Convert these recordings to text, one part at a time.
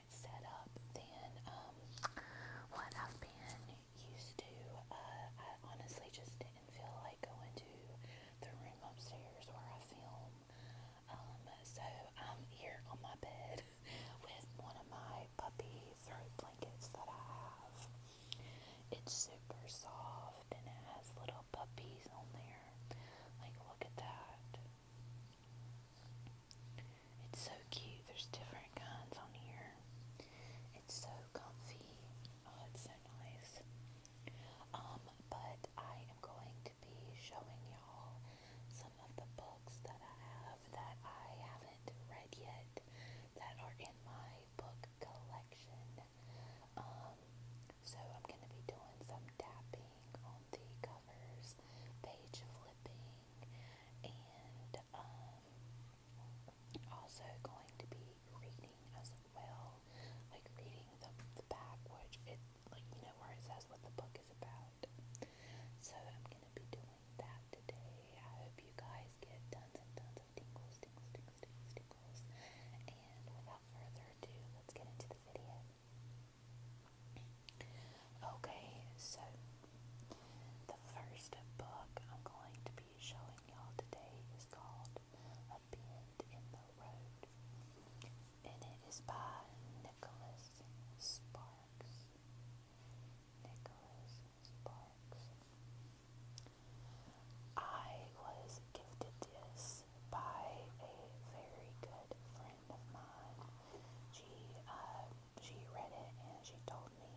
different setup than um, what I've been used to. Uh, I honestly just didn't feel like going to the room upstairs where I film. Um, so I'm here on my bed with one of my puppy throat blankets that I have. It's super soft and it has little puppies on there. Like, look at that. It's so cute. There's different kinds on here. It's so comfy. Oh, it's so nice. Um, but I am going to be showing y'all some of the books that I have that I haven't read yet that are in my book collection. Um, so I'm going to be doing some tapping on the covers, page flipping, and um, also going to be reading as well, like reading the, back, which it like you know where it says what the book is about. So I'm gonna be doing that today. I hope you guys get tons and tons of tingles, tingles, tingles, tingles, tingles. And without further ado, let's get into the video. Okay, so the first book I'm going to be showing y'all today is called A Bend in the Road, and it is by Nicholas Sparks. Nicholas Sparks. I was gifted this by a very good friend friend of mine, she uh, she read it and she told me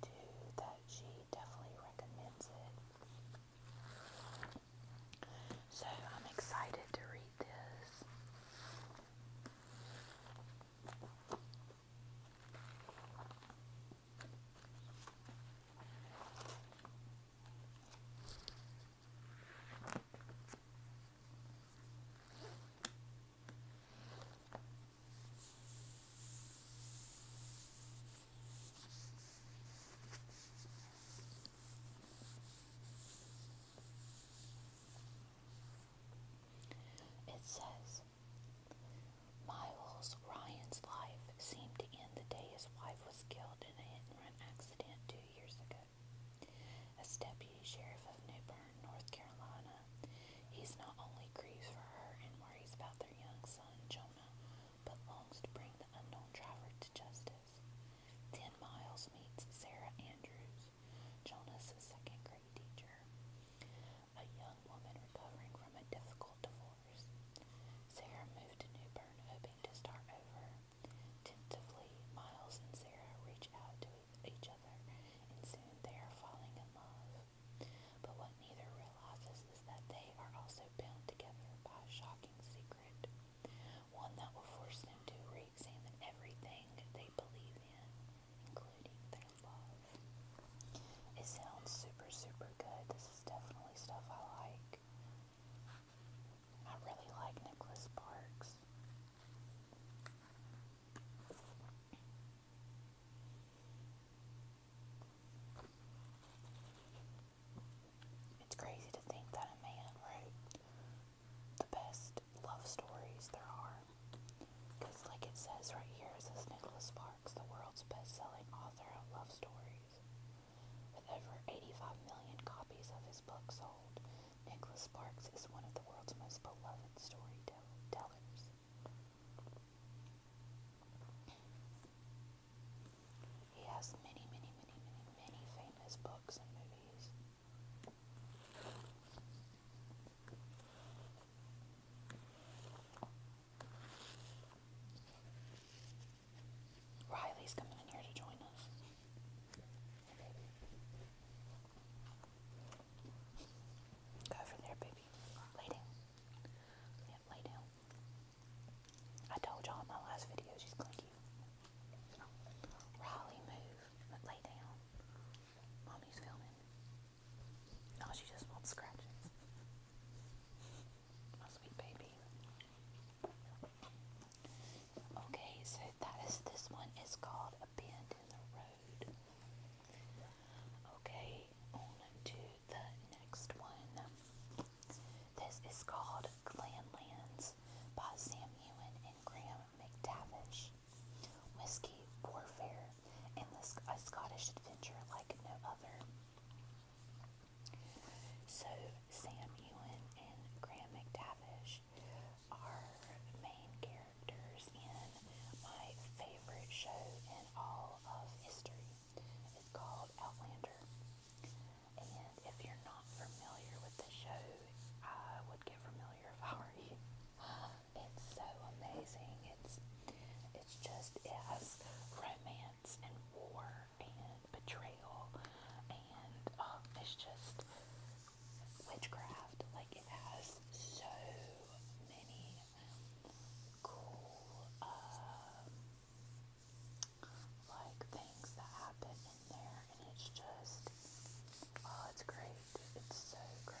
to that she definitely recommends it. So I'm excited to read this. It says, Miles Ryan's life seemed to end the day his wife was killed in a hit and run accident two years ago. As deputy sheriff of New Bern, North Carolina, he's not only grieves for her and worries about their young son, Jonah, but longs to bring the unknown driver to justice. Ten Miles meets Sarah Andrews, Jonah's second grade teacher, a young woman recovering from a difficult divorce. Sarah moved to New Bern hoping to start over, Tentatively, Miles and Sarah reach out to each other, and soon they are falling in love. But what neither realizes is that they are also bound together by a shocking secret, one that will force them to re examine everything they believe in, including their love. It sounds super, super good. This is definitely stuff I like. I really like Nicholas Parks. It's crazy to think that a man wrote the best love stories there are. Because, like it says right here, it says Nicholas Sparks, the world's best selling author of love stories. With over 85 million copies of his books sold, Nicholas Sparks is one of the world's most beloved storytellers. He has many, many, many, many, many famous books and movies. Riley's coming in here to join us. Go over there, baby. Lay down. Yeah, lay down. I told y'all in my last video she's clinky. Riley, move. But lay down. Mommy's filming. No, she just won't My sweet baby. Okay, so that is this one is called A Bend in the Road. Okay, on the next one. This is called Glanlands by Sam Ewan and Graham McTavish. Whiskey, warfare, and a Scottish adventure like no other. So Sam Ewan and Graham McTavish are main characters in my favorite show in all of history. It's called Outlander. And if you're not familiar with the show, I would get familiar if I were you. It's so amazing. It's it's just it has romance and war and betrayal and um, it's just witchcraft. Like it has so many cool um, like things that happen in there, and it's just oh, it's great. It's so great.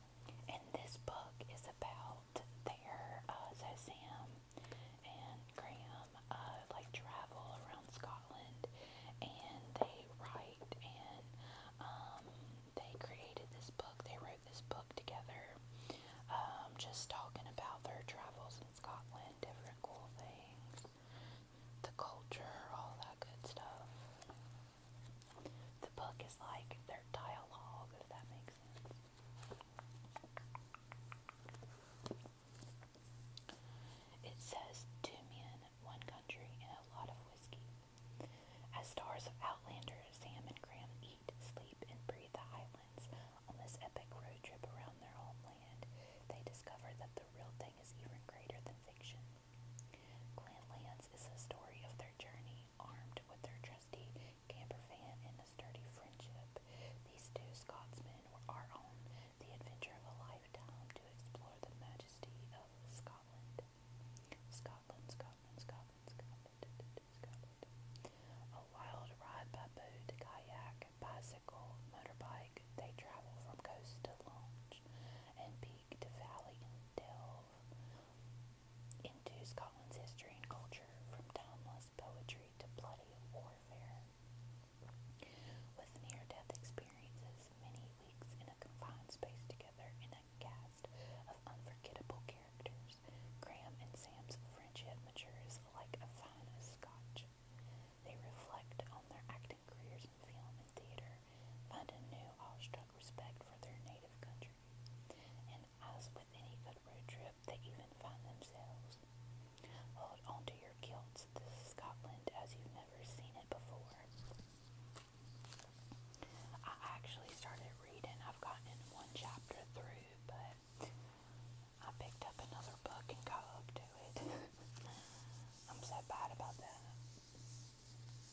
And this book is about their, uh, and Graham, uh, like travel around Scotland and they write and, um, they created this book, they wrote this book together, um, just talking about their travels in Scotland, different cool things, the culture, all that good stuff. The book is like their dialogue, if that makes it says two men, one country, and a lot of whiskey. As stars of Outlander, Sam and Graham eat, sleep, and breathe the islands. On this epic road trip around their homeland, they discover that the real thing is even greater than fiction. Clan is the story of their journey, armed with their trusty Campervan, and the sturdy friendship. These two Scotsmen are on the adventure of a lifetime to explore the majesty of Scotland. Scotland, Scotland, Scotland, Scotland, Scotland. A wild ride by boat, kayak, bicycle, motorbike. They travel from coast to launch and seek to valley and delve into Scotland's history and culture, from timeless poetry to bloody warfare. With near death experiences, many weeks in a confined space together in a cast of unforgettable characters, Graham and Sam's friendship matures like a fine scotch. They reflect on their acting careers in film and theater, find a new awestruck respect for their native country. And as with any good road trip, they even find themselves. Hold on to your kilts. This is Scotland as you've never seen it before. I actually started reading. I've gotten one chapter through, but I picked up another book and got up to it. I'm so bad about that.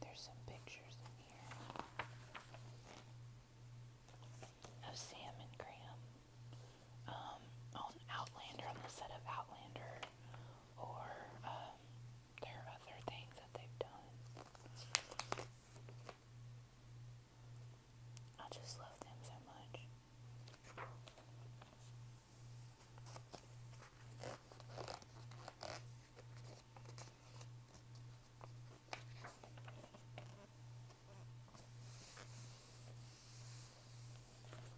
There's some pictures in here of Sam and Graham. Um, on Outlander, on the set of Outlander, or um, there are other things that they've done. I just love them so much.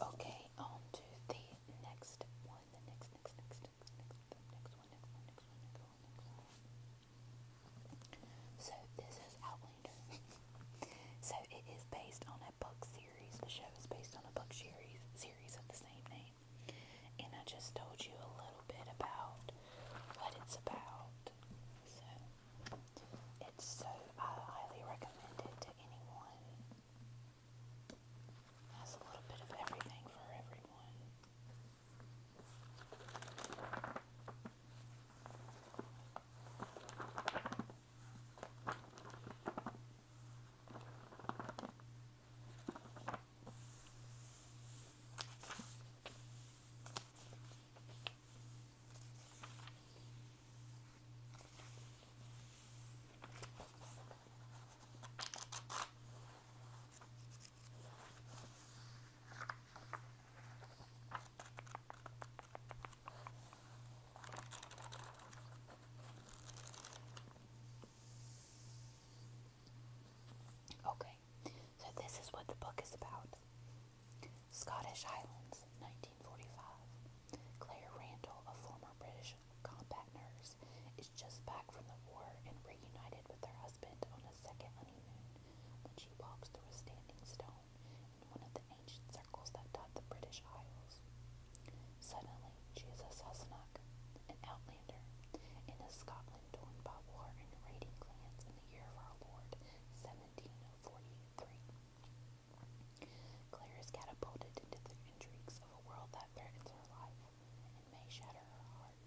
Okay, on to the next one. The next, next, next, next, next, next next one, next one, next one, next one. So this is Outlander. so it is based on a book series. The show is based on a book series series of the same name. And I just told you a little bit about what it's about. So it's so I highly recommend it to anyone has a little bit of everything for everyone. Okay, so this is what the book is about Scottish Highlands, 1945. Claire Randall, a former British combat nurse, is just back from the war and reunited with her husband on a second honeymoon when she walks through a standing stone in one of the ancient circles that dot the British Isles. Suddenly, she is a Sassenach, an outlander, in a Scotland torn by war and raiding clans in the year of our Lord, 1743. Claire is catapulted into the intrigues of a world that threatens her life and may shatter her heart.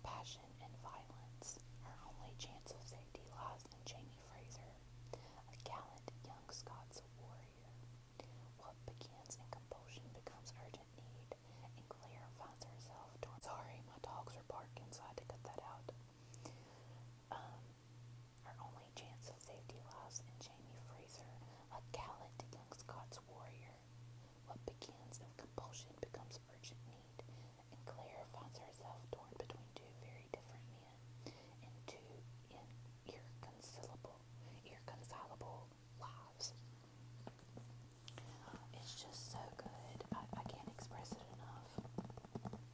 Passion and violence. Her only chance of safety lies in Jamie Fraser, a gallant young Scots warrior. What begins in compulsion becomes urgent need, and Claire finds herself Sorry, my dogs are barking, I had to cut that out um, our only chance of safety lies in Jamie Fraser, a gallant young Scots warrior. What begins as compulsion becomes urgent need, and Claire finds herself torn between two very different men and two in irreconcilable, lives. Uh, it's just so good. I, I can't express it enough.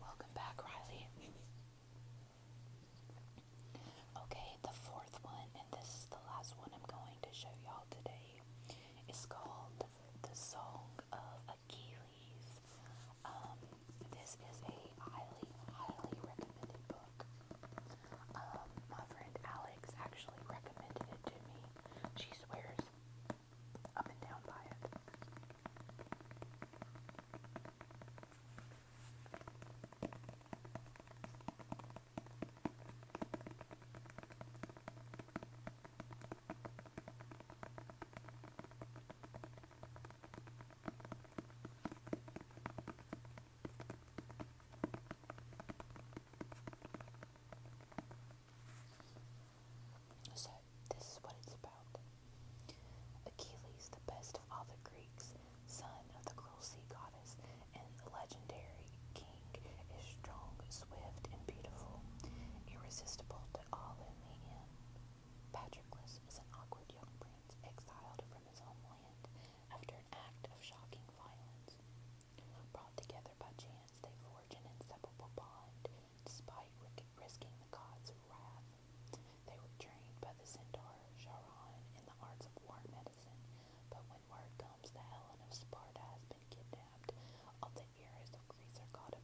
Welcome back, Riley. Okay, the fourth one, and this is the last one I'm going to show y'all today, is called The Song of Achilles. Um, this is a highly, highly recommended book. Um, my friend Alex actually recommended it to me. She swears up and down by it. So, this is what it's about. Achilles, the best of all the Greeks, son of the cruel sea goddess and the legendary king, is strong, swift, and beautiful, irresistible to all in the end. Patroclus is an awkward young prince exiled from his homeland after an act of shocking violence. Brought together by chance, they forge an inseparable bond despite risking the gods' wrath. They were trained by the centaur Charon in the arts of war medicine, but when word comes that Helen of Sparta has been kidnapped, all the heroes of Greece are called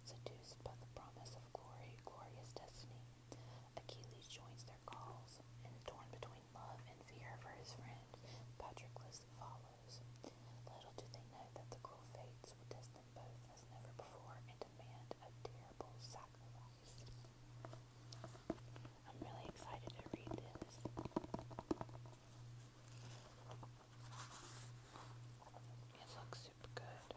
Seduced by the promise of glory, glorious destiny, Achilles joins their calls, and torn between love and fear for his friend, Patroclus follows. Little do they know that the cruel fates will test them both as never before and demand a terrible sacrifice. I'm really excited to read this. It looks super good.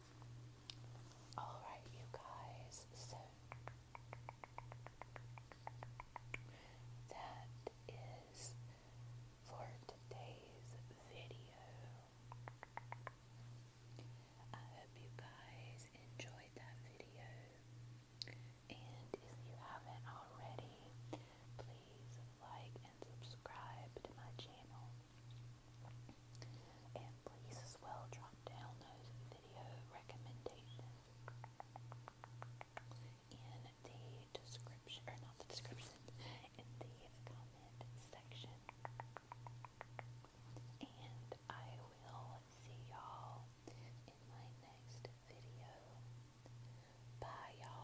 Alright, you guys, so that is for today's video. I hope you guys enjoyed that video. And if you haven't already, please like and subscribe to my channel. And please as well drop down those video recommendations in the description, or not the description, in the comment section. And I will see y'all in my next video. Bye y'all.